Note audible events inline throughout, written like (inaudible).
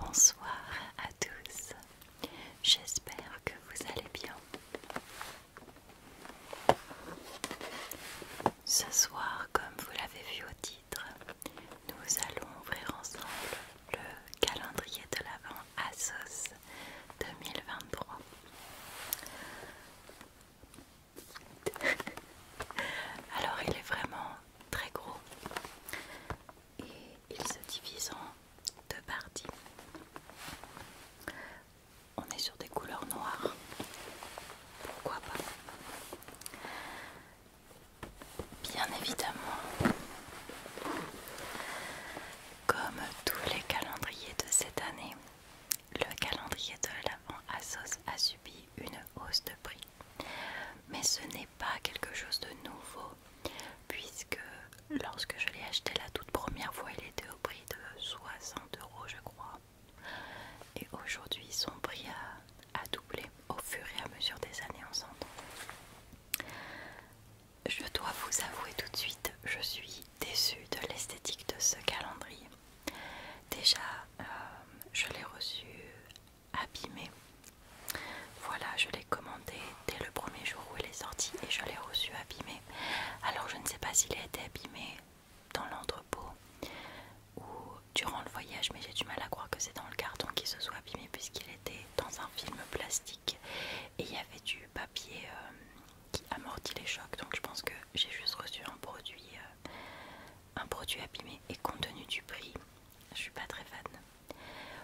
Bonsoir à tous, j'espère que vous allez bien. Ce soir, comme vous l'avez vu au titre, nous allons ouvrir ensemble le calendrier de l'Avent Asos 2023. (laughs) Alors il est vraiment très gros et il se divise en deux parties. On est sur des couleurs noires. Pourquoi pas Bien évidemment, comme tous les calendriers de cette année, le calendrier de l'Avent su une hausse de prix. Mais ce n'est pas quelque chose de nouveau, puisque lorsque je l'ai acheté la toute première fois, il était au prix de 60 euros, je crois. Et aujourd'hui, son prix a, doublé au fur et à mesure des années, ensemble Je dois vous avouer tout de suite, je suis déçue de l'esthétique de ce calendrier. Déjà, euh, je l'ai reçu abîmé. Voilà, je l'ai commandé dès le premier jour où il est sorti et je l'ai reçu abîmé. Alors je ne sais pas s'il a été abîmé dans l'entrepôt ou durant le voyage, mais j'ai du mal à croire que c'est dans le carton qu'il se soit abîmé puisqu'il était dans un film plastique et il y avait du papier euh, qui amortit les chocs. Donc je pense que j'ai juste reçu un produit euh, un produit abîmé et compte tenu du prix, je suis pas très fan.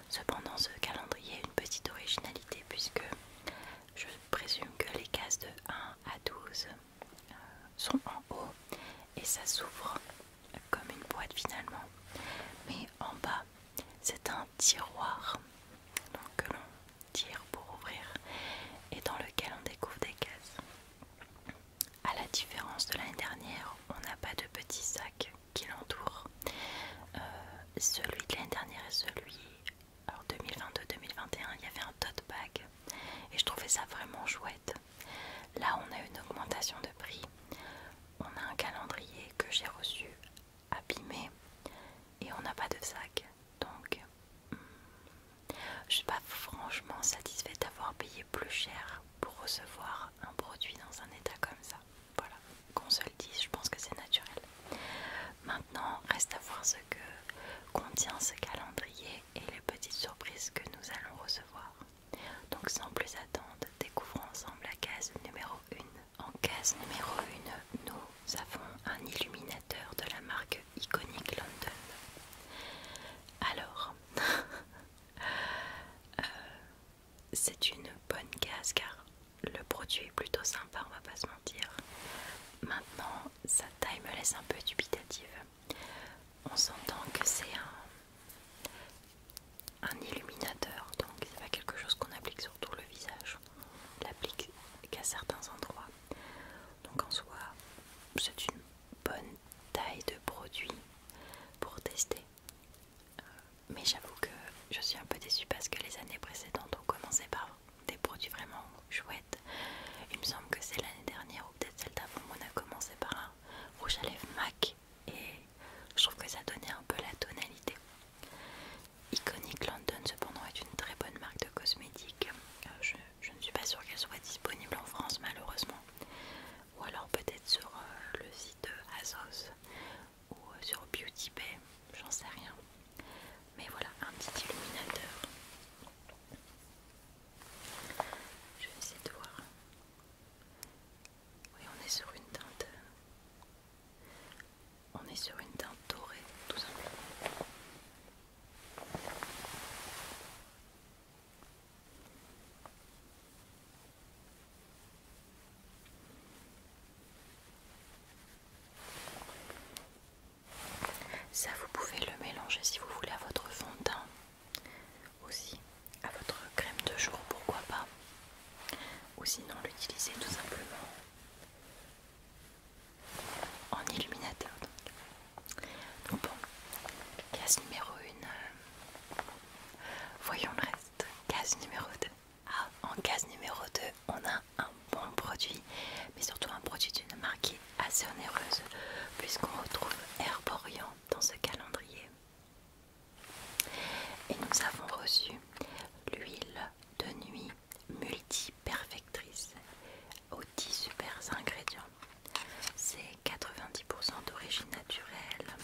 Cependant, ce calendrier a une petite originalité puisque je présume que les cases de 1 à 12 euh, sont en haut et ça s'ouvre comme une boîte finalement. Mais en bas, c'est un tiroir que l'on tire pour ouvrir et dans lequel on découvre des cases. À la différence de l'année dernière, on n'a pas de petits sacs qui l'entourent. Euh, celui de l'année dernière et celui 2022-2021, il y avait un tote bag et je trouvais ça vraiment chouette. Là, on a une augmentation de prix. On a un calendrier que j'ai reçu abîmé et on n'a pas de sac. Donc, hmm, je suis pas franchement satisfaite d'avoir payé plus cher pour recevoir un produit dans un état comme ça. Voilà, qu'on se le dise, je pense que c'est naturel. Maintenant, reste à voir ce que contient ce calendrier et les petites surprises que nous allons recevoir. Donc sans plus attendre, découvrons ensemble la case numéro 1. En case numéro 1, nous avons un illuminateur de la marque Iconic London. Alors, (laughs) euh, c'est une bonne case car le produit est plutôt sympa, on va pas se mentir. Maintenant, sa taille me laisse un peu dubitative. On s'entend que c'est un, un illuminateur, donc c'est pas quelque chose qu'on applique sur tout le visage. On l'applique qu'à certains endroits. Donc en soi, c'est une bonne taille de produit pour tester. Euh, mais j'avoue que je suis un peu déçue parce que les années précédentes ont commencé par des produits vraiment chouettes. Il me semble que c'est l'année dernière ou peut-être celle d'avant on a commencé par un rouge à lèvres MAC et je trouve que ça donnait un peu la tonalité. Iconic London cependant est une très bonne marque de cosmétiques. Euh, je ne suis pas sûre qu'elle soit disponible en France malheureusement. Ou alors peut-être sur euh, le site de Asos ou euh, sur Beauty Bay, j'en sais rien. Mais voilà, un petit illuminateur. Je vais essayer de voir. Oui, on est sur une teinte. Euh, on est sur une teinte dorée, tout simplement. Ça, vous pouvez le mélanger si vous voulez à votre fond de teint, aussi à votre crème de jour, pourquoi pas, ou sinon l'utiliser tout simplement en illuminateur. Donc, bon, case numéro 1, euh, voyons le reste. Case numéro 2. Ah, en case numéro 2, on a un bon produit, mais surtout un produit d'une marque qui est assez onéreuse, puisqu'on retrouve Herborian dans ce calendrier. Et nous avons reçu l'huile de nuit multi-perfectrice au 10 super ingrédients. C'est 90% d'origine naturelle.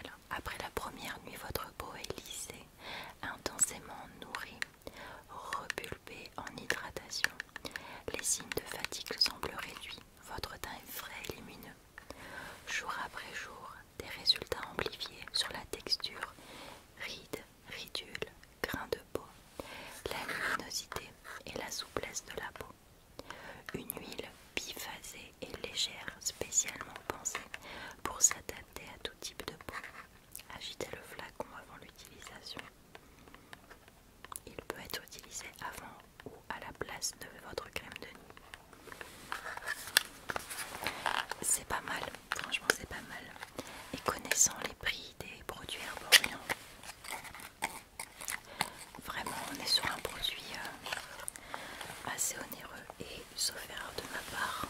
Alors, après la première nuit, votre peau est lissée, intensément nourrie, repulpée en hydratation. Les signes de fatigue semblent réduits. Votre teint est frais et lumineux. Jour après jour, des résultats amplifiés sur la texture, rides ridules, ridule, grain de peau, la luminosité et la souplesse de la peau. Une huile biphasée et légère, spécialement pensée pour s'adapter à tout type de peau. Agitez le flacon avant l'utilisation. Il peut être utilisé avant ou à la place de votre crème de nuit. C'est pas mal, franchement c'est pas mal. Et connaissant les prix des produits herboriens. Vraiment, on est sur un produit euh, assez onéreux et sauf de ma part.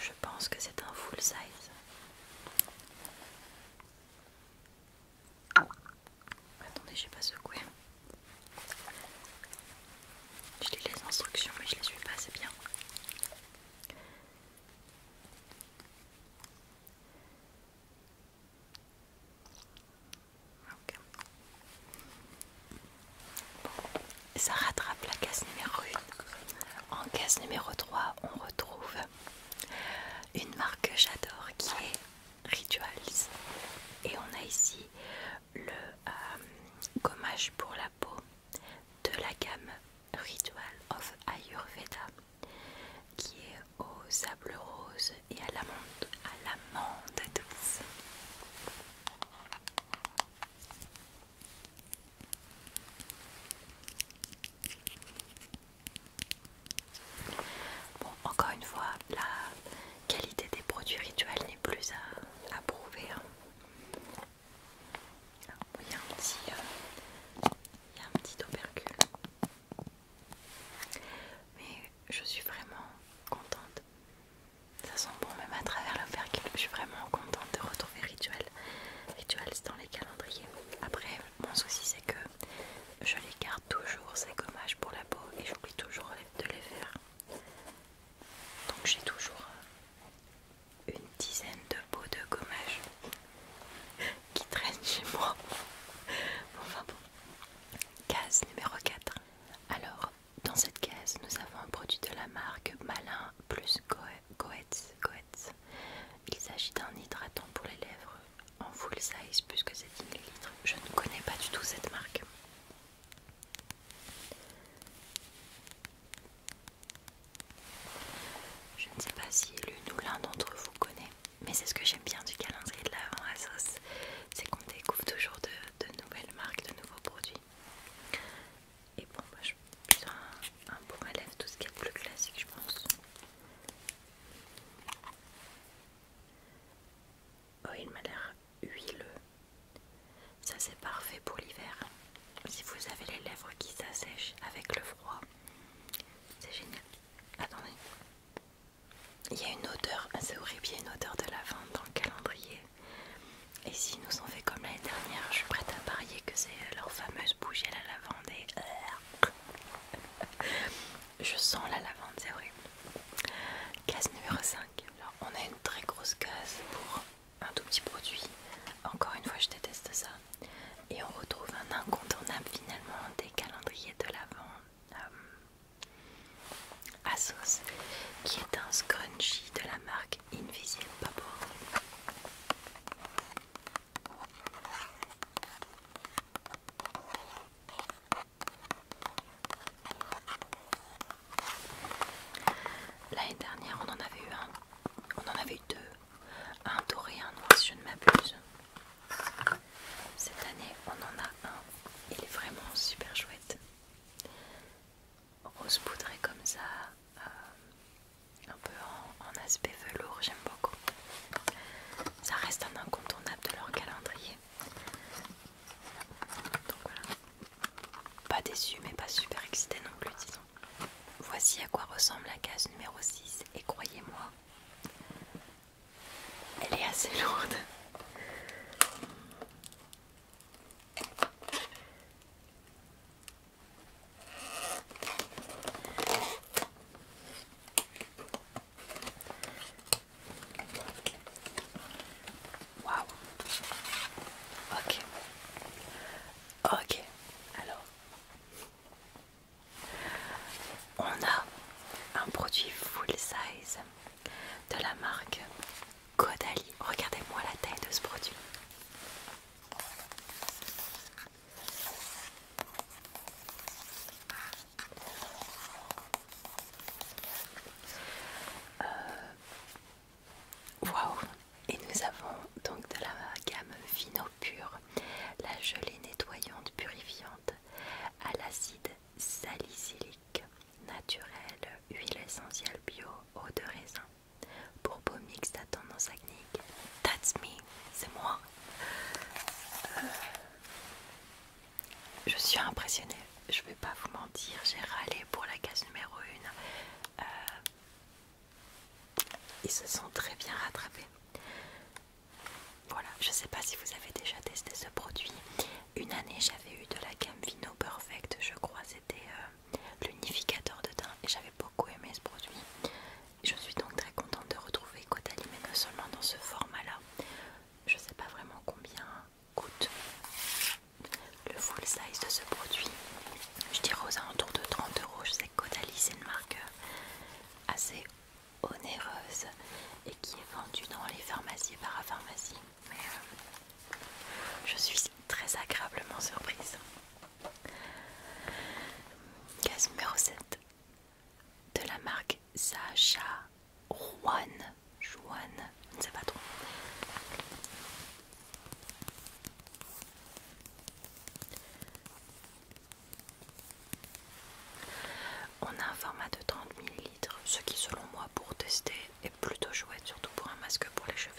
Je pense que c'est un full size. Attendez, j'ai pas secoué. Je lis les instructions mais je les suis pas, assez bien. Ça rattrape la case numéro 1. En case numéro 3, on retrouve une marque que j'adore qui est Rituals. Et on a ici le euh, gommage pour la de la gamme Ritual of Ayurveda qui est au sable rose et à l'amande à l'amande douce. Bon, encore une fois, la qualité des produits rituels n'est plus à, prouver. Hein. Euh, il y a un petit, opercule. Mais je suis vraiment contente. Ça sent bon même à travers l'opercule. Je suis vraiment contente de retrouver rituel Rituel dans les calendriers. Après, mon souci c'est que je les garde toujours ces gommages pour la peau et j'oublie toujours de les faire. Donc j'ai toujours euh, une dizaine de pots de gommage (laughs) qui traînent chez moi. (laughs) Enfin bon. Case numéro 4. Alors, dans cette case, nous avons un produit de la marque Malin plus Goetz. Goetz. Il s'agit d'un hydratant pour les lèvres en full size puisque c'est 10 ml. Je ne connais pas du tout cette marque. Je ne sais pas si l'une ou l'un d'entre vous connaît, mais c'est ce que j'aime bien du calendrier de à sauce, c'est qu'on découvre toujours de, nouvelles marques, de nouveaux produits. Et bon, moi je suis un, bon élève, tout ce qui est plus classique, je pense. Oh, il m'a l'air huileux. Ça c'est parfait pour l'hiver. Si vous avez les lèvres qui s'assèchent avec le froid, c'est génial. Attendez. Il y a une odeur, ah, c'est horrible, une odeur de lavande dans le calendrier. Et si nous ont fait comme l'année dernière, je suis prête à parier que c'est euh, leur fameuse bougie à la lavande. Et... Euh, (laughs) je sens la lavande, c'est horrible. Case numéro 5. Alors, on a une très grosse case pour un tout petit produit. Encore une fois, je déteste ça. Et on retrouve un incontournable finalement des calendriers de l'avant à euh, sauce, qui est un scrunchie de la marque Invisible L'année dernière, on en avait eu un. On en avait eu deux. Un doré et un noir, si je ne m'abuse. Cette année, on en a un. Il est vraiment super chouette. Rose poudrée comme ça, euh, un peu en aspect velours, j'aime beaucoup. Ça reste un incontournable de leur calendrier. Donc voilà. Pas déçu mais pas super excité non plus disons. Voici à quoi ressemble la case numéro 6 et croyez-moi, elle est assez (laughs) lourde. Waouh. Ok. Ok. Alors, on a un produit full size de la marque Godali. Regardez-moi la taille de ce produit. Euh, Waouh Et nous avons donc de la gamme Vino Pure, la gelée nettoyante purifiante à l'acide salicylique naturel, huile essentielle bio, eau de raisin. Pour peau mixte à tendance acnéique. That's me, c'est moi. Euh, je suis impressionnée je vais pas vous mentir, j'ai râlé pour la case numéro 1. Euh, ils se sont très bien rattrapés. Voilà, je sais pas si vous avez déjà testé ce produit. Une année j'avais eu de la gamme Vino Perfect, je crois c'était euh, l'unificateur de teint et j'avais beaucoup aimé ce produit. Je suis donc très contente de retrouver Caudalie mais non seulement dans ce format là. Je sais pas vraiment combien coûte le full size de ce produit je dirais aux alentours de 30 euros je sais que Caudalie c'est une marque assez onéreuse et qui est vendue dans les pharmacies et parapharmacies mais euh, je suis très agréablement surprise case numéro 7 de la marque Sacha Rouen. Joanne, je sais pas trop. On a un format de 30 ml, ce qui selon moi pour tester est plutôt chouette, surtout pour un masque pour les cheveux.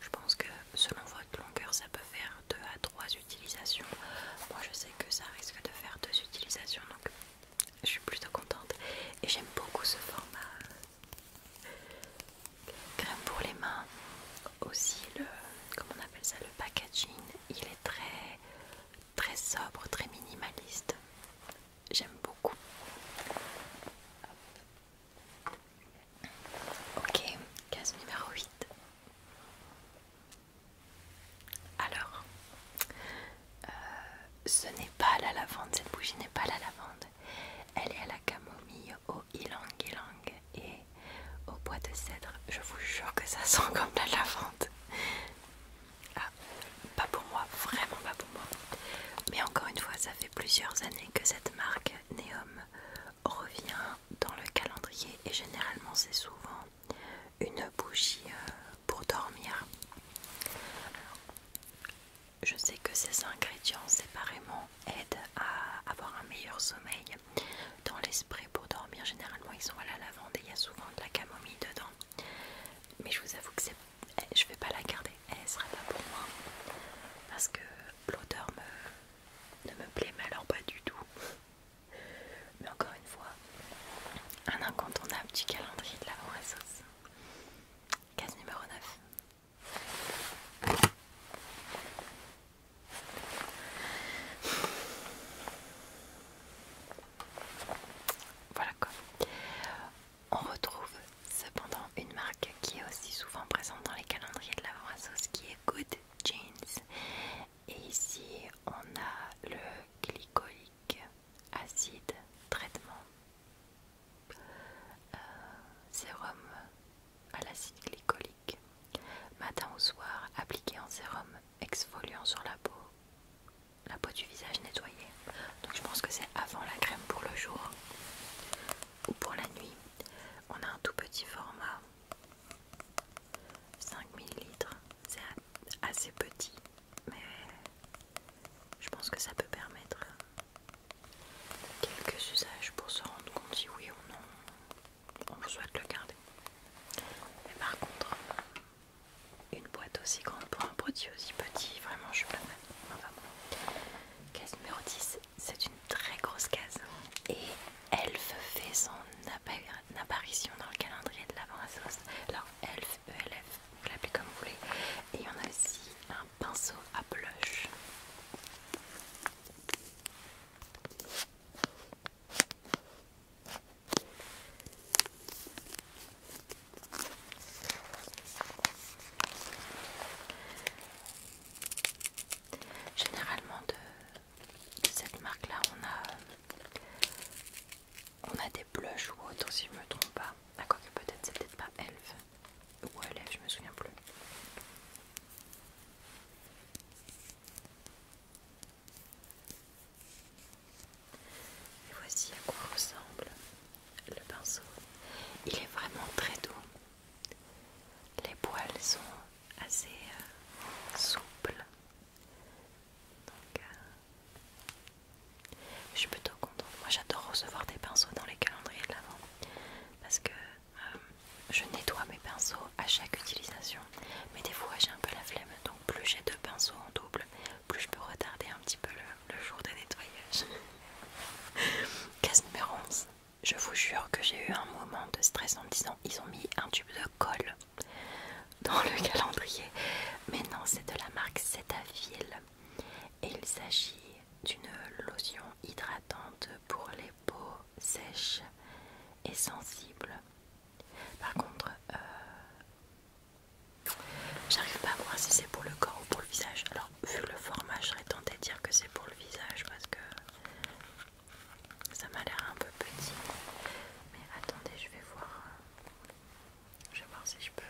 Je pense que selon votre longueur ça peut faire 2 à 3 utilisations. Moi je sais que ça risque de faire deux utilisations donc je suis plutôt contente et j'aime beaucoup ce format Crème pour les mains, aussi le, on appelle ça, le packaging, il est très, très sobre, très minimaliste. J'aime beaucoup. Ok, case numéro 8. Alors, euh, ce n'est pas la lavande, cette bougie n'est pas la lavande. Elle est à la camomille, au ylang ylang et au bois de cèdre. Je vous jure que ça (laughs) sent comme la lavande. Ah, pas pour moi, vraiment pas pour moi. Mais encore une fois, ça fait plusieurs années que cette marque Neom revient dans le calendrier et généralement c'est souvent une bougie euh, pour dormir je sais que ces ingrédients séparément aident à avoir un meilleur sommeil. Dans l'esprit pour dormir, généralement ils sont à la lavande et il y a souvent de la camomille dedans. Mais je vous avoue que eh, je vais pas la garder, eh, elle sera pas pour moi parce que l'odeur ne me plaît, malheureusement alors pas du tout. Mais encore une fois, un incontournable du calendrier de la sauce. Case numéro 9. Voilà quoi. On retrouve cependant une marque qui est aussi souvent présente dans les calendriers de la à qui est Good Jeans. Et ici on a le glycolique acide traitement euh, sérum à l'acide glycolique, matin ou soir, appliqué en sérum exfoliant sur la peau, la peau du visage nettoyée. Donc je pense que c'est avant la crème pour le jour ou pour la nuit. On a un tout petit format, 5 ml, c'est assez petit, mais je pense que ça peut permettre quelques usages pour se rendre compte si oui ou non on souhaite le garder. Mais par contre, une boîte aussi grande pour un produit aussi petit, vraiment je suis pas mal. Case numéro 10, c'est une très grosse case. Et Elf fait son apparition dans le calendrier de l'avant à Alors Elf, ELF, vous l'appelez comme vous voulez. Et il y en a aussi un pinceau à blush. Généralement de, cette marque là on a on a des blushs ou autres si je me trompe pas. quoi que peut-être c'est peut-être pas elf. Ou elle est, je me souviens plus. Et voici à quoi ressemble le pinceau. Il est vraiment très doux. Les poils sont assez euh, souples. Euh, je suis plutôt contente. Moi j'adore recevoir des pinceaux dans les calendriers de l'avant parce que euh, je nettoie mes pinceaux à chaque utilisation. Mais des fois j'ai un peu la flemme, donc plus j'ai deux pinceaux en double, plus je peux retarder un petit peu le, jour de nettoyage. (laughs) Case numéro 11. Je vous jure que j'ai eu un moment de stress en me disant ils ont mis un tube de colle dans le (laughs) calendrier. Mais non, c'est de la marque Cetaphil et il s'agit d'une lotion hydratante pour les peaux sèches et sensibles. Par contre, euh, j'arrive pas à voir si c'est pour le corps ou pour le visage. Alors, vu le format, je serais tentée de dire que c'est pour le visage parce que ça m'a l'air un peu petit. Mais attendez, je vais voir. Je vais voir si je peux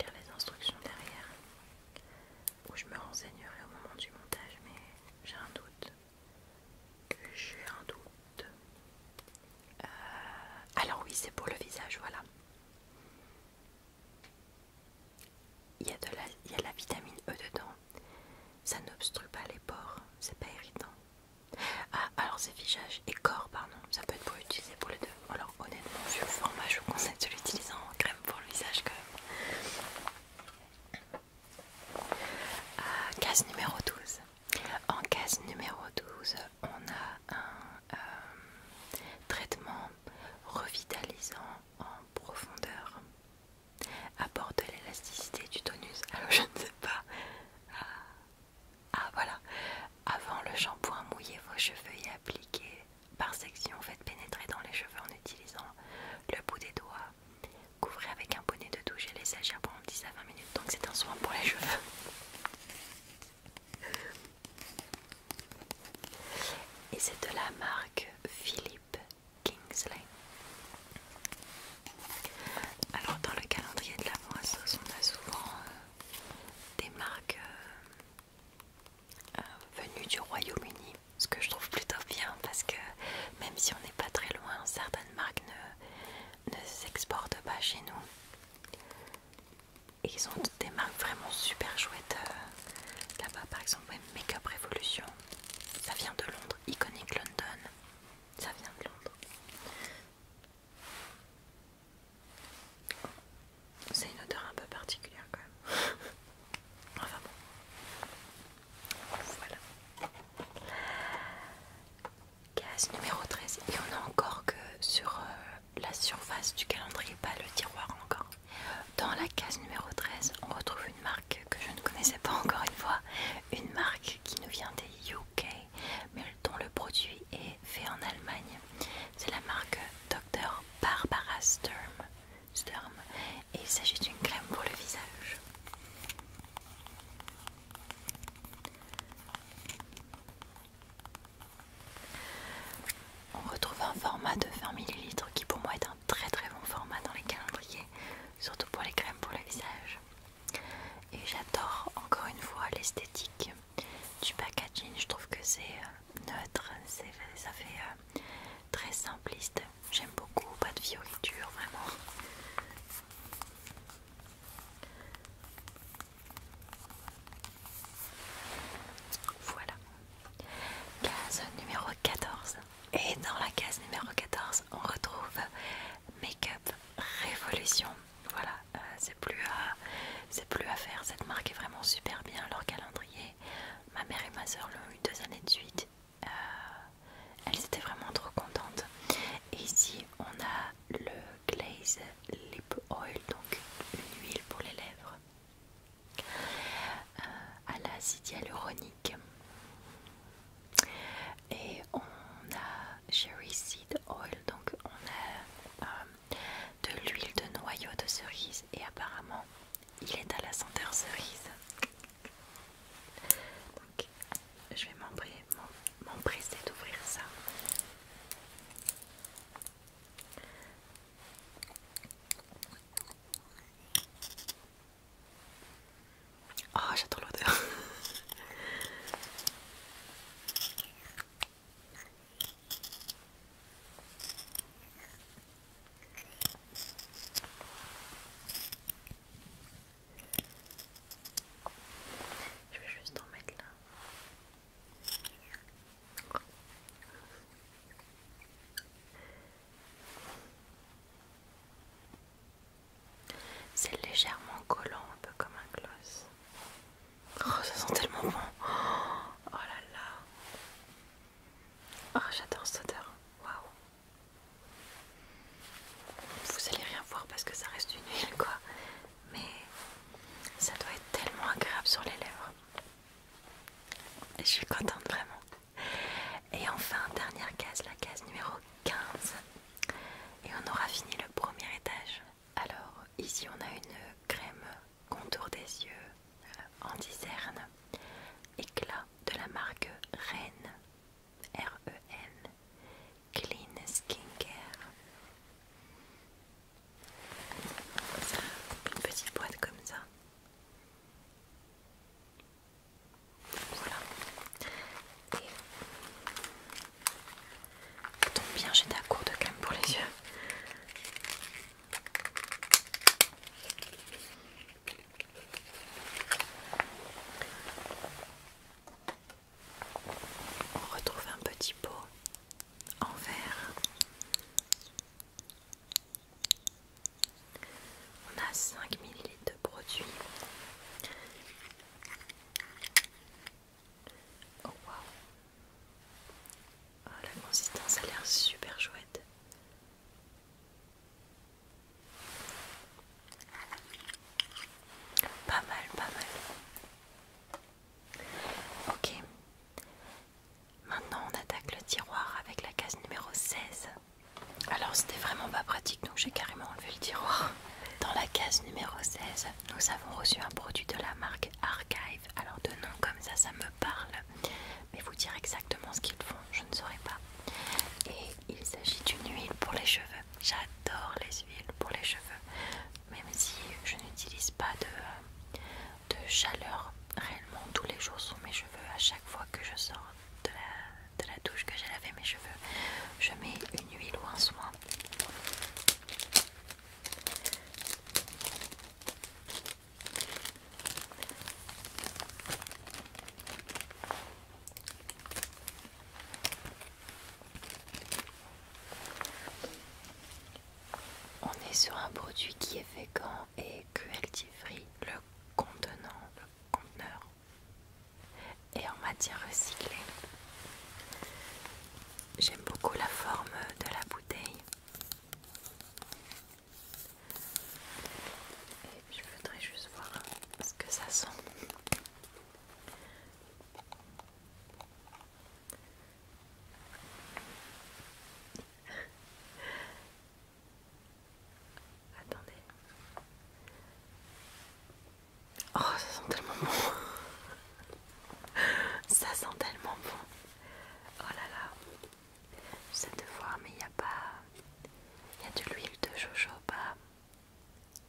lire les instructions derrière où je me renseignerai au moment du montage mais j'ai un doute j'ai un doute euh, alors oui c'est pour le visage voilà il y, a de la, la vitamine E dedans ça n'obstrue pas les pores c'est pas irritant ah alors c'est visage et corps pardon ça peut être pour utiliser pour les deux honnêtement vu le format je vous conseille de l'utiliser en crème pour le visage quand même euh, case numéro 12 en case numéro 12 on a un euh, traitement revitalisant en profondeur de l'élasticité du tonus alors je ne sais pas ah, ah voilà avant le shampoing mouillez vos cheveux et appliquez par section, fait pénétrer dans les cheveux en utilisant le bout des doigts. Couvrez avec un bonnet de douche et laissez agir pendant 10 à 20 minutes. Donc c'est un soin pour les cheveux. (laughs) Et c'est de la marque Philippe Kingsley. Alors dans le calendrier de la moisse, on a souvent euh, des marques euh, euh, venu du Royaume-Uni, ce que je trouve plutôt bien parce que même si on n'est pas très loin, certaines marques ne, s'exportent pas chez nous. ils ont des marques vraiment super chouettes euh, là-bas, par exemple Makeup Make Revolution, ça vient de Londres, Iconic London, ça vient de Londres. C'est une odeur un peu particulière quand même. (laughs) enfin bon. Voilà. Case numéro 13. Et on a encore que sur euh, la surface du calendrier, pas le tiroir encore. Dans la case numéro 13, on retrouve une marque que je ne connaissais pas encore une fois. Une marque qui nous vient des UK, mais dont le produit est fait en Allemagne. C'est la marque Doc. Barbara Sturm, Sturm et il s'agit d'une crème pour le visage. On retrouve un format de 20 ml qui pour moi est un très très bon format dans les calendriers, surtout pour les crèmes pour le visage. Et j'adore encore une fois l'esthétique du packaging, je trouve que c'est euh, neutre, ça fait euh, très simpliste. J'aime beaucoup, pas de fioriture, vraiment. Voilà. Case numéro 14. Et dans la case numéro 14, on retrouve Make-up Révolution. Voilà, euh, plus, à, plus à faire. Cette marque est vraiment super bien, leur calendrier. Ma mère et ma soeur l'ont eu deux années de suite. Euh, elles étaient vraiment trop contentes. Et ici, on a le Glaze Lip Oil, donc une huile pour les lèvres euh, à l'acide hyaluronique. Et on a Cherry Seed Oil, donc on a euh, de l'huile de noyau de cerise et apparemment il est à la senteur cerise. Donc, je vais m'empresser d'ouvrir ça. Oh, j'adore l'odeur. (laughs) Je vais juste en mettre là. C'est légèrement collant, un peu comme un gloss. Oh, ça sent tellement bon. Oh là là. Oh, j'adore cette odeur. Waouh. Vous allez rien voir parce que ça reste une huile, quoi. Mais ça doit être tellement agréable sur les lèvres. Et je suis contente vraiment. Et enfin, dernière case, la case numéro 15. Et on aura fini le premier étage. Alors ici on a une crème contour des yeux euh, en diserne éclat de la marque Ren e R-E-N Clean Skin Care. une petite boîte comme ça voilà et bien j'ai d'accord de crème pour les yeux on retrouve un petit pot en verre. On a 5 millilitres de produit. Oh, Oh, la consistance a l'air super chouette. Pas mal, pas mal. Ok. Maintenant, on attaque le tiroir avec la case numéro 16. Alors, c'était vraiment pas pratique, donc j'ai carrément enlevé le tiroir. Dans la case numéro 16, nous avons reçu un produit de la marque Archive. Alors, de nom comme ça, ça me parle, mais vous dire exactement ce qu'ils font, je ne saurais pas. Et il s'agit d'une huile pour les cheveux. J'adore les huiles pour les cheveux, même si je n'utilise pas de, de chaleur réellement tous les jours sur mes cheveux. À chaque fois que je sors de la, de la douche, que j'ai lavé mes cheveux, je mets une huile ou un soin. On est sur un produit qui est vegan et cruelty free, le contenant, le conteneur et en matière recyclée. J'aime beaucoup la forme de la bouteille. Et je voudrais juste voir ce que ça sent. (laughs) Attendez. Oh, ça sent tellement bon. (laughs) (laughs) Ça sent tellement bon. Oh là là. J'essaie de voir, mais il n'y a pas. Il y a de l'huile de jojoba,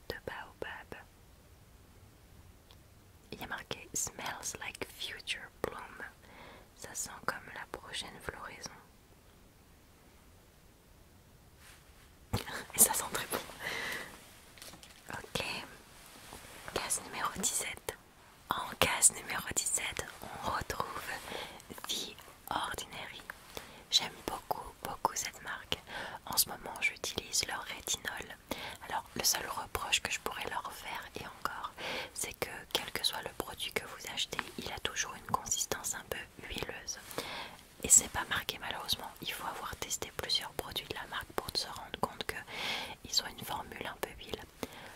de baobab. Il y a marqué Smells like future bloom. Ça sent comme la prochaine floraison. (laughs) Et ça sent très bon. Ok. Case numéro 17. En case numéro 17, on retrouve The Ordinary. J'aime beaucoup, beaucoup cette marque. En ce moment, j'utilise leur rétinol. Alors, le seul reproche que je pourrais leur faire, et encore, c'est que quel que soit le produit que vous achetez, il a toujours une consistance un peu huileuse. Et c'est pas marqué malheureusement. Il faut avoir testé plusieurs produits de la marque pour se rendre compte qu'ils ont une formule un peu huile.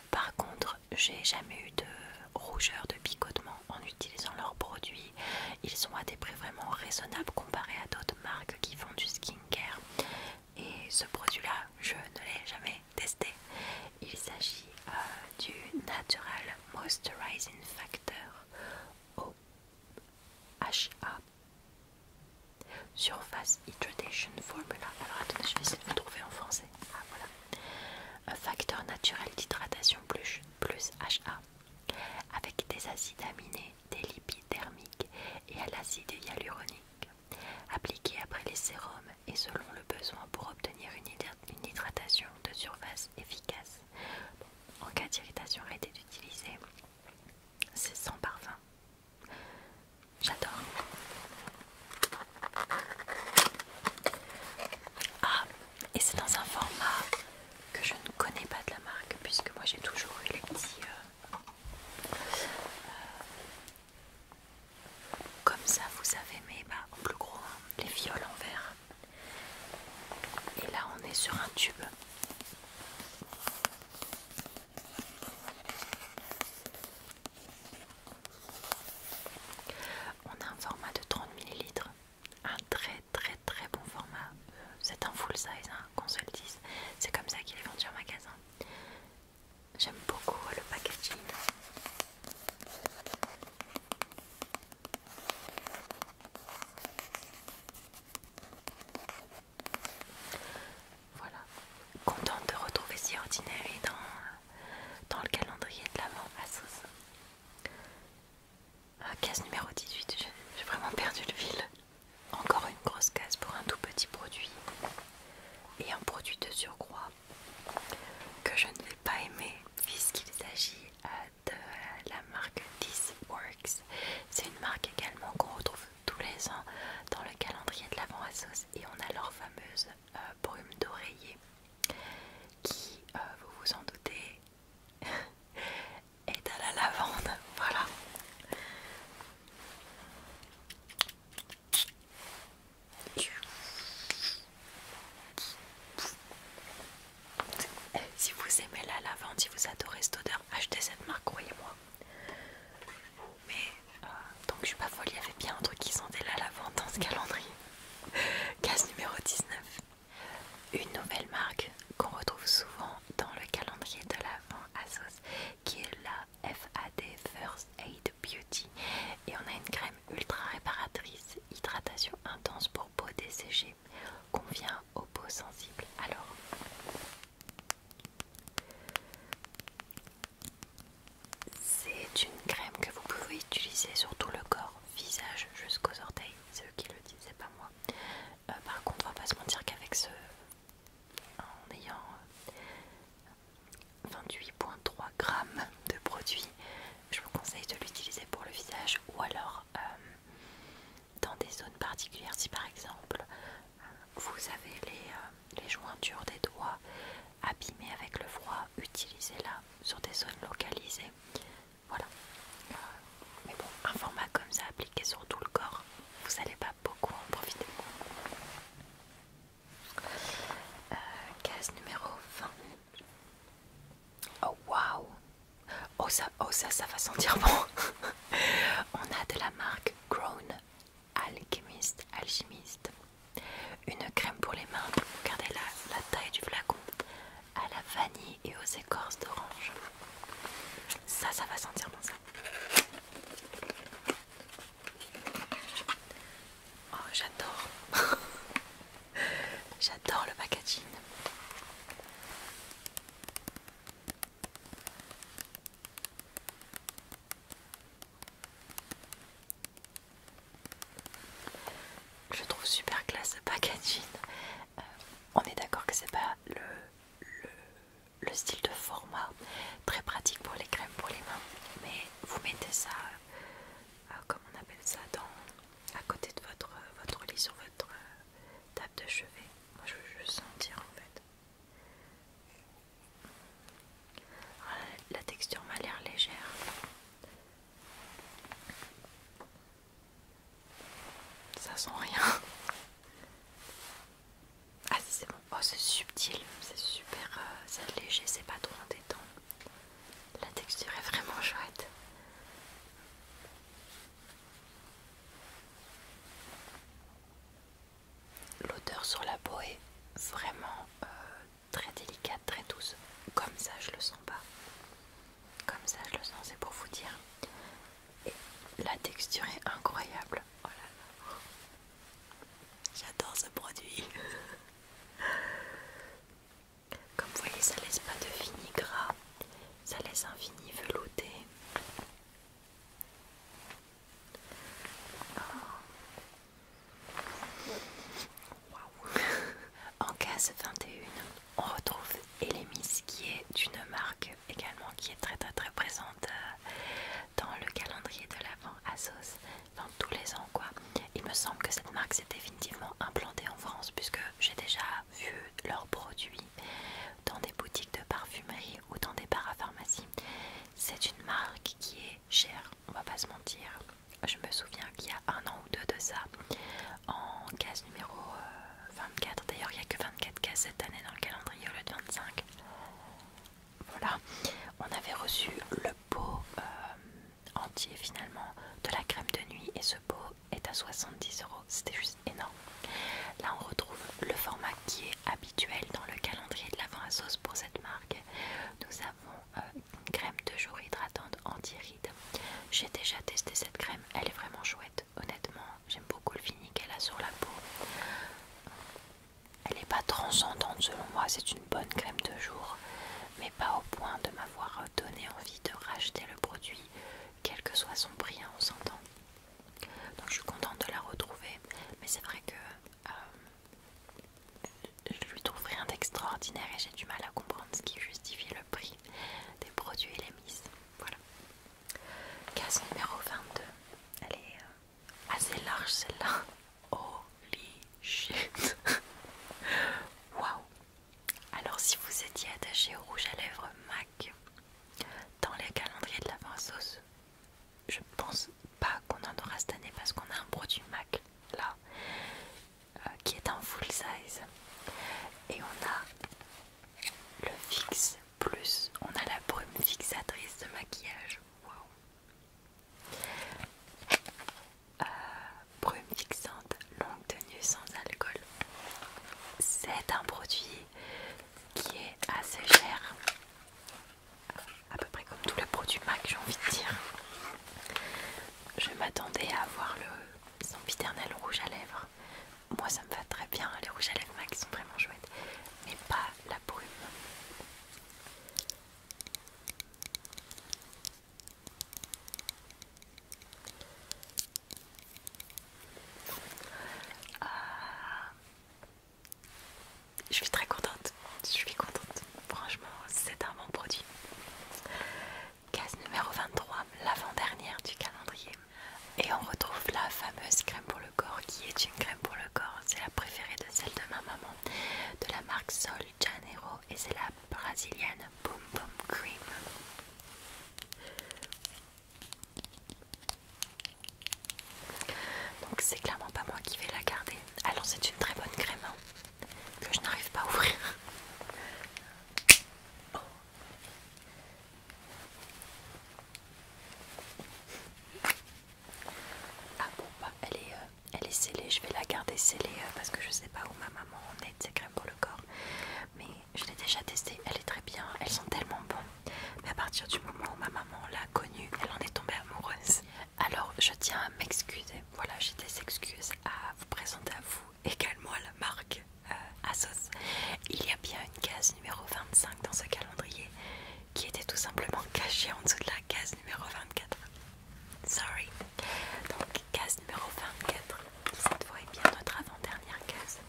Par contre, j'ai jamais eu de rougeur, de picotement en utilisant leurs produits. Ils sont à des prix vraiment raisonnables comparés à d'autres marques qui font du skincare. Et ce produit-là, je ne l'ai jamais testé. Il s'agit euh, du Natural Moisturizing Factor. OHA. Surface Hydration Formula. Alors attendez, je vais essayer de vous trouver en français. Ah voilà. Un facteur naturel d'hydratation plus, plus HA. Avec des acides aminés, des lipides thermiques et à l'acide hyaluronique. Appliqué après les sérums et selon le besoin pour obtenir une hydratation de surface efficace. en cas d'irritation, arrêtez d'utiliser. C'est sans parfum. J'adore. Ah, et c'est dans un format que je ne connais pas de la marque, puisque moi j'ai toujours eu les petits. Euh, euh, comme ça, vous savez, mais bah, en plus gros, hein, les viols en verre. Et là, on est sur un tube. On a un format de 30 ml, un très très très bon format. Euh, c'est un full size, un hein, qu'on se C'est comme ça qu'il est vendu en magasin. J'aime beaucoup le packaging. Voilà, contente de retrouver si ordinaire et dans, dans le calendrier de l'avant à Sauce. Ah, case numéro 18, j'ai vraiment perdu le fil. Encore une grosse case pour un tout petit produit et un produit de surcroît que je ne vais pas aimer puisqu'il s'agit euh, de la marque This Works. C'est une marque également qu'on retrouve tous les ans dans le calendrier de Lavant à sauce et on a leur fameuse euh, brume d'oreiller qui, euh, vous vous en doutez, (laughs) est à la lavande. (laughs) Voilà. Eh, si vous aimez la lavande, si vous adorez cette odeur, achetez cette marque, croyez-moi mais donc euh, je suis pas folle, il y avait bien un truc qui sentait la lavande dans ce calendrier. Case numéro 19. Une nouvelle marque qu'on retrouve souvent dans le calendrier de l'avant à sauce qui est la FAD First Aid Beauty et on a une crème ultra réparatrice, hydratation intense pour peau desséchée, convient aux peaux sensibles. Alors c'est une crème que vous pouvez utiliser sur tout le corps, visage jusqu'aux orteils. Ceux qui le disent, c'est pas moi. Euh, par contre, on va pas se mentir qu'avec ce. En ayant 28,3 euh, grammes de produit, je vous conseille de l'utiliser pour le visage ou alors euh, dans des zones particulières. Si par exemple vous avez euh, les, jointures des doigts abîmées avec le froid, utilisez-la sur des zones localisées. Voilà. Euh, mais bon, un format comme ça appliqué sur tout le corps, vous n'allez pas beaucoup en profiter. Euh, case numéro 20. Oh wow. Oh, ça, oh ça, ça va sentir bon! (laughs) On a de la marque Grown alchimiste, alchimiste. Une crème pour les mains, regardez la, la taille du flacon, à la vanille et aux écorces d'orange. Ça, ça va sentir bon ça. Oh, j'adore. (laughs) j'adore le packaging. Je trouve super classe ce packaging. Euh, on est d'accord que c'est pas le, le, style de format très pratique pour les crèmes pour les mains, mais vous mettez ça, euh, euh, comme on appelle ça, dans, à côté de votre, votre lit sur votre table de chevet. Moi je veux juste sentir en fait la texture m'a l'air légère. Ça sent rien. Ah c'est bon. Oh c'est subtil. C'est super. Euh, léger. C'est pas trop en détente La texture est vraiment chouette l'odeur sur la peau est vraiment euh, très délicate, très douce. Comme ça, je le sens pas. Comme ça, je le sens, c'est pour vous dire. Et la texture est incroyable. Oh J'adore ce produit. (laughs) Comme vous voyez, ça laisse pas de fini gras, ça laisse un fini velouté en case 21, on retrouve Elemis qui est une marque également qui est très très très présente euh, dans le calendrier de l'avant sauce dans tous les ans Il me semble que cette marque s'est définitivement implantée en France puisque j'ai déjà vu leurs produits dans des boutiques de parfumerie ou dans des parapharmacies c'est une marque qui est chère, on va pas se mentir. Je me souviens qu'il y a un an ou deux de ça, en case numéro 24, euh, d'ailleurs il n'y a que 24 cases cette année dans le calendrier au lieu de 25. Voilà, on avait reçu le pot euh, entier finalement de la crème de nuit et ce pot est à 70 euros, c'était juste énorme. Là on retrouve le format qui est habituel dans le calendrier de la l'avant à sauce pour cette marque. Nous avons euh, une crème de jour hydratante anti-rides. J'ai déjà testé cette crème, elle est vraiment chouette. Honnêtement, j'aime beaucoup le fini qu'elle a sur la peau. Elle n'est pas transcendante selon moi, c'est une bonne crème de jour, mais pas au point de m'avoir donné envie de racheter le produit, quel que soit son prix, hein, on s'entend. Donc je suis contente de la retrouver, mais c'est vrai que euh, je lui trouve rien d'extraordinaire et j'ai du mal à comprendre ce qui justifie le prix des produits et les mises. Voilà. Case numéro 22. Elle est euh, assez large celle-là. Holy shit! (laughs) Waouh! Alors, si vous étiez attaché au rouge à lèvres MAC dans les calendriers de la pinceau je pense pas qu'on en aura cette année parce qu'on a un produit MAC là euh, qui est en full size et on a le fixe plus on a la brume fixatrice de maquillage euh, brume fixante longue tenue sans alcool c'est un produit qui est assez cher à peu près comme tous les produits MAC j'ai envie de dire. Je m'attendais à avoir le sempiternel rouge à lèvres. Moi ça me va très bien, les rouges à lèvres MAC sont vraiment chouettes, mais pas la brume. Euh, je suis très contente, je suis contente. Franchement, c'est un bon produit. Case numéro 23, l'avant-dernière du calendrier. Et on retrouve la fameuse crème pour le corps qui est une crème pour le corps. C'est la préférée de celle de ma maman, de la marque Sol Janeiro et c'est la brésilienne Boom Boom Cream. Donc c'est clairement pas moi qui vais la garder. Alors c'est une très bonne crème hein, que je n'arrive pas à ouvrir. Ah bon bah, euh, elle est, scellée, je vais la garder scellée euh, parce que je ne sais pas où ma maman en est de ces crèmes pour le corps. Mais je l'ai déjà testée, elle est très bien, elles sont tellement bonnes. Mais à partir du moment où ma maman l'a connue, elle en est tombée amoureuse. Alors je tiens à m'excuser. Voilà, j'ai des excuses à vous présenter à vous, également la marque euh, Asos. Il y a bien une case numéro 25 dans ce calendrier qui était tout simplement cachée en dessous de la case numéro 24. Sorry. Donc case numéro 24, qui cette fois est bien notre avant-dernière case.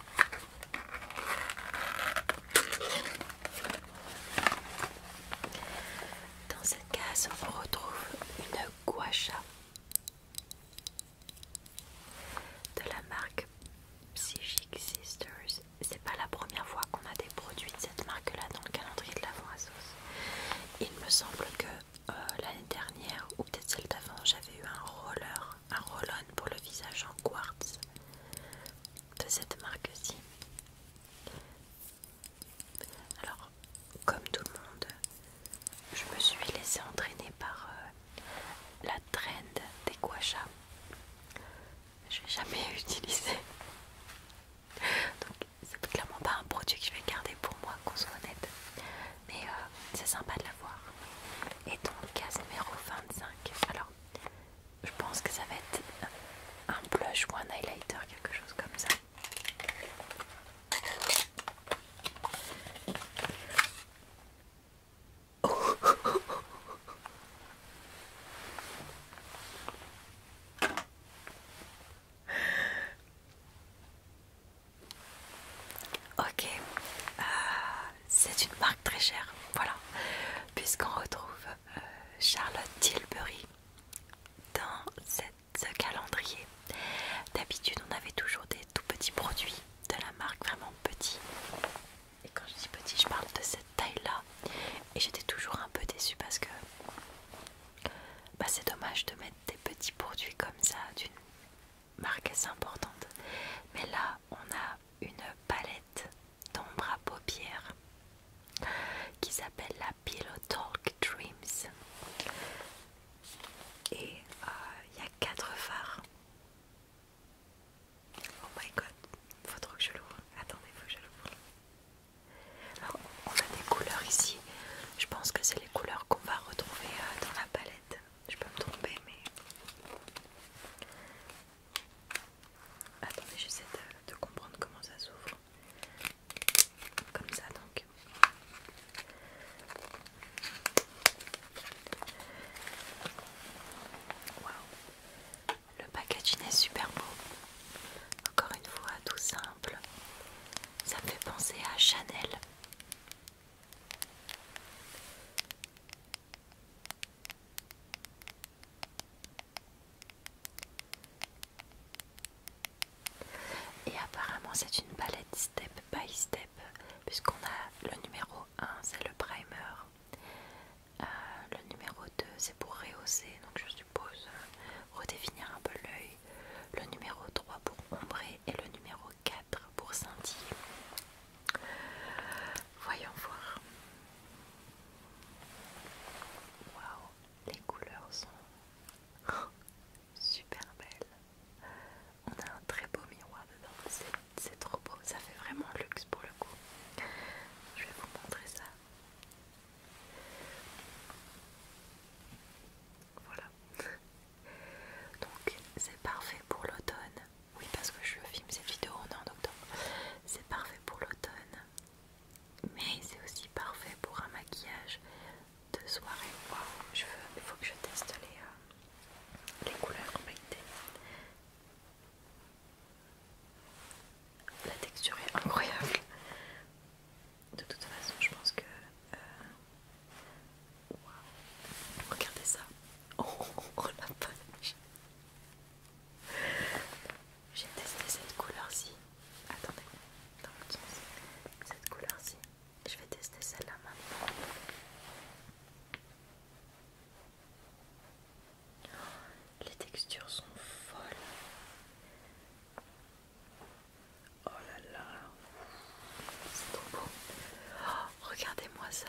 Dans cette case, on retrouve une guacha de la marque Psychic Sisters. C'est pas la première fois qu'on a des produits de cette marque-là dans le calendrier de l'avant à sauce. Il me semble que euh, l'année dernière, ou peut-être celle d'avant, j'avais eu un roller, un roll-on pour le visage en quartz de cette marque-ci. Alors, comme tout le monde, je me suis laissée entraîner par euh, la trend des guachas. Je l'ai jamais (laughs) utilisé. Donc, c'est clairement pas un produit que je vais garder pour moi, qu'on soit honnête. Mais euh, c'est sympa de l'avoir. Et donc, case numéro 25. Alors, je pense que ça va être un blush ou un highlighter, quelque chose comme ça. (laughs) Ok, euh, c'est une marque très chère, voilà, puisqu'on retrouve Charlotte Tilbury dans ce calendrier. D'habitude, on avait toujours des tout petits produits de la marque, vraiment petit Et quand je dis petit, je parle de cette taille-là. Et j'étais toujours un peu déçue parce que bah, c'est dommage de mettre des petits produits comme ça d'une marque assez importante. Mais là, on a une palette d'ombre à paupières qui s'appelle la Pillow Talk Dreams. Et euh, il y a 4 phares. Oh my god, faut trop que je l'ouvre. Attendez, faut que je l'ouvre. on a des couleurs ici. Je pense que c'est les couleurs qu'on va retrouver euh, dans la palette. Je peux me tromper, mais. Attendez, j'essaie de, comprendre comment ça s'ouvre. Comme ça donc. Waouh Le packaging est super beau. Encore une fois, tout simple. Ça me fait penser à Chanel. Et apparemment c'est une palette step by step puisqu'on a le numéro 1 c'est le primer. Euh, le numéro 2 c'est pour rehausser, donc je suppose euh, redéfinir un peu l'œil. Le numéro 3 pour ombrer et le numéro 4 pour scintiller. Voyons voir. Waouh, les couleurs sont (laughs) super belles. On a un très beau miroir dedans, c'est trop beau, ça fait vraiment luxe pour le coup. Je vais vous montrer ça. Voilà. Donc c'est parfait pour l'automne. Oui parce que je filme cette vidéo, on est en octobre. C'est parfait pour l'automne mais c'est aussi parfait pour un maquillage de soirée. waouh, il faut que je teste les, couleurs les couleurs La texture est incroyable. De toute façon, je pense que. Euh, waouh, Regardez ça. Oh, (laughs) la j'ai testé cette couleur-ci. Attendez, sens cette couleur-ci. Je vais tester celle-là maintenant. Oh, les textures sont folles. Oh là là, c'est trop beau. Oh, regardez-moi ça.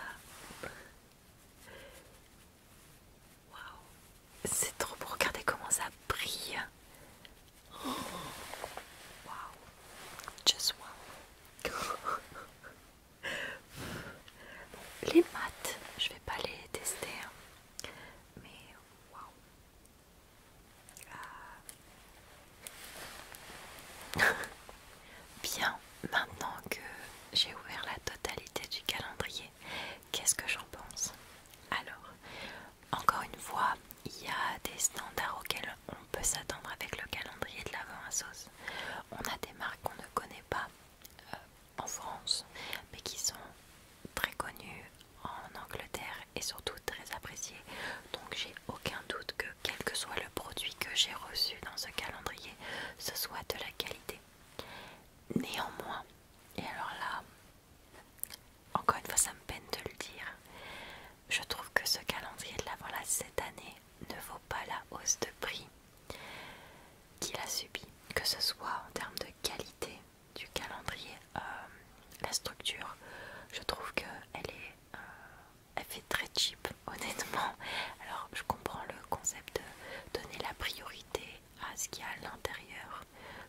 Waouh, c'est trop beau, regardez comment ça brille. Waouh, just waouh les maths, je vais pas les tester, hein. mais waouh. Euh. (laughs) Bien, maintenant que j'ai ouvert la totalité du calendrier, Qu'est-ce que j'en pense Alors, encore une fois, il y a des standards auxquels on peut s'attendre avec le calendrier de l'avant à sauce. On a des marques qu'on ne connaît pas euh, en France, mais qui sont très connues en Angleterre et surtout très appréciées. Donc j'ai aucun doute que quel que soit le produit que j'ai reçu dans ce calendrier, ce soit de la qualité. Néanmoins, et alors là, encore une fois, ça me peine de le dire. Je trouve que ce calendrier de l'avant là cette année ne vaut pas la hausse de prix qu'il a subi, que ce soit en termes de qualité du calendrier, euh, la structure. Je trouve qu'elle est, euh, fait très cheap, (laughs) honnêtement. Alors je comprends le concept de donner la priorité à ce qu'il y a à l'intérieur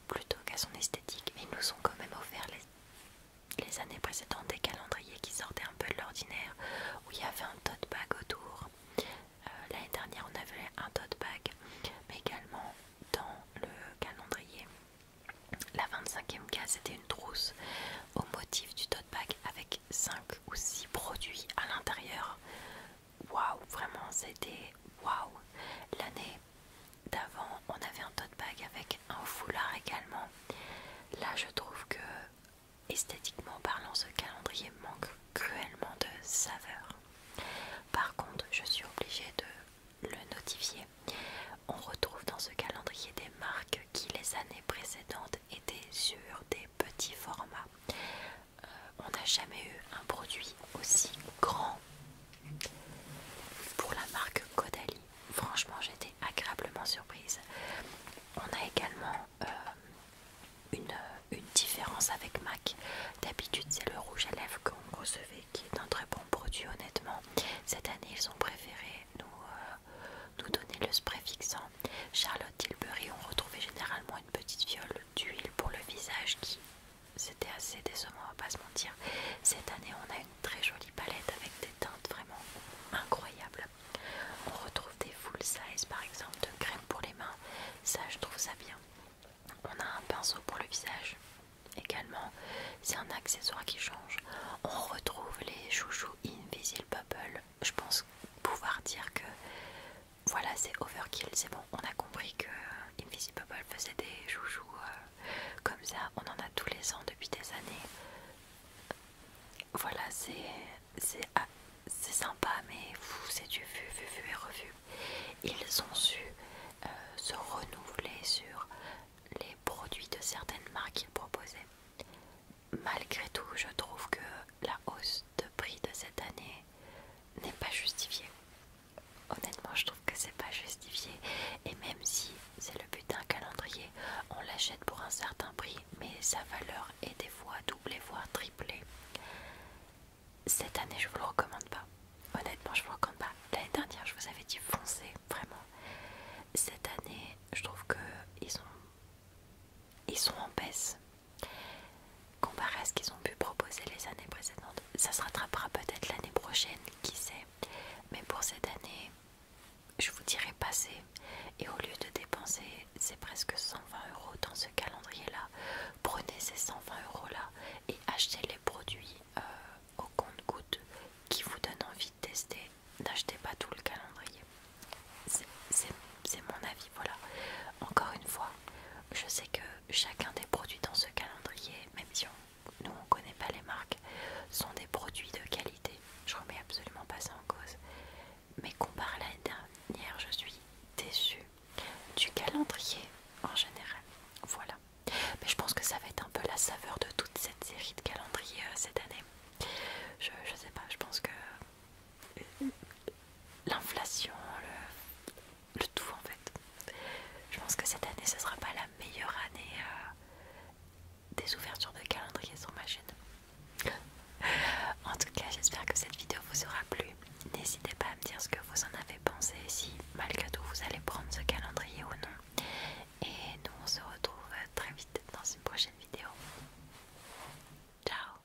plutôt qu'à son esthétique. Mais ils nous ont quand même offert les, années précédentes des calendriers qui sortaient un peu de l'ordinaire, où il y avait un tote bag autour. Euh, l'année dernière, on avait un tote bag, mais également dans le calendrier. La 25e case, c'était une trousse au motif du tote bag avec 5 ou 6 produits à l'intérieur waouh, vraiment c'était waouh. L'année d'avant, on avait un tote bag avec un foulard également. Là, je trouve que esthétiquement parlant, ce calendrier manque cruellement de saveur. Par contre, je suis obligée de le notifier. On retrouve dans ce calendrier des marques qui les années précédentes étaient sur des petits formats. Euh, on n'a jamais eu un produit aussi grand pour la marque Caudalie. Franchement, j'étais agréablement surprise. On a également euh, une, différence avec MAC. D'habitude, c'est le rouge à lèvres qu'on recevait qui est un très bon produit, honnêtement. Cette année, ils ont préféré nous, euh, nous donner le spray fixant. Charlotte Tilbury, on retrouvait généralement une petite viole d'huile pour le visage qui c'était assez décevant, on va pas se mentir. Cette année, on a une très jolie palette avec des teintes vraiment incroyables. On retrouve des full size par exemple de crème pour les mains, ça je trouve ça bien. On a un pinceau pour le visage également, c'est un accessoire qui change. On retrouve les chouchous Invisible Bubble. Je pense pouvoir dire que voilà, c'est overkill, c'est bon. On a compris que Invisible faisait des joujoux euh, comme ça. On en a tous les ans depuis des années. Voilà, c'est ah, sympa, mais c'est du vu, vu, vu et revu. Ils ont su euh, se renouveler sur les produits de certaines marques qu'ils proposaient. Malgré tout, je trouve que la hausse de prix de cette année n'est pas justifié. Honnêtement, je trouve que c'est pas justifié. Et même si c'est le but d'un calendrier, on l'achète pour un certain prix, mais sa valeur est des fois doublée, voire triplée. Cette année, je vous le recommande pas. Honnêtement, je vous le recommande pas. L'année dernière, je vous avais dit foncez, vraiment. Cette année, je trouve que ils sont, ils sont en baisse. Comparé à ce qu'ils ont pu proposer les années précédentes, ça se rattrapera peut-être l'année prochaine, qui sait. Mais pour cette année, je vous dirais passer. Et au lieu de dépenser, c'est presque 120 euros dans ce calendrier-là. Prenez ces 120 euros-là et achetez les produits euh, au compte-goutte qui vous donnent envie de tester. N'achetez pas tout le calendrier. C'est c'est mon avis, voilà. Encore une fois, je sais que chacun des produits dans ce calendrier, même si nous on connaît pas les marques, sont des produits de qualité. Je remets absolument pas ça en cause. Mais comparé à l'année dernière, je suis déçue du calendrier en général. Voilà. Mais je pense que ça va être un peu la saveur de toute cette série de calendriers euh, cette année. Je, ne sais pas, je pense que euh, l'inflation, le le tout en fait. Je pense que cette année, ce sera pas la meilleure année euh, des ouvertures de calendrier sur ma chaîne. en tout cas, j'espère que cette vidéo vous aura plu. N'hésitez pas à me dire ce que vous en avez pensé, si malgré tout vous allez prendre ce calendrier ou non. Et nous, on se retrouve très vite dans une prochaine vidéo. Ciao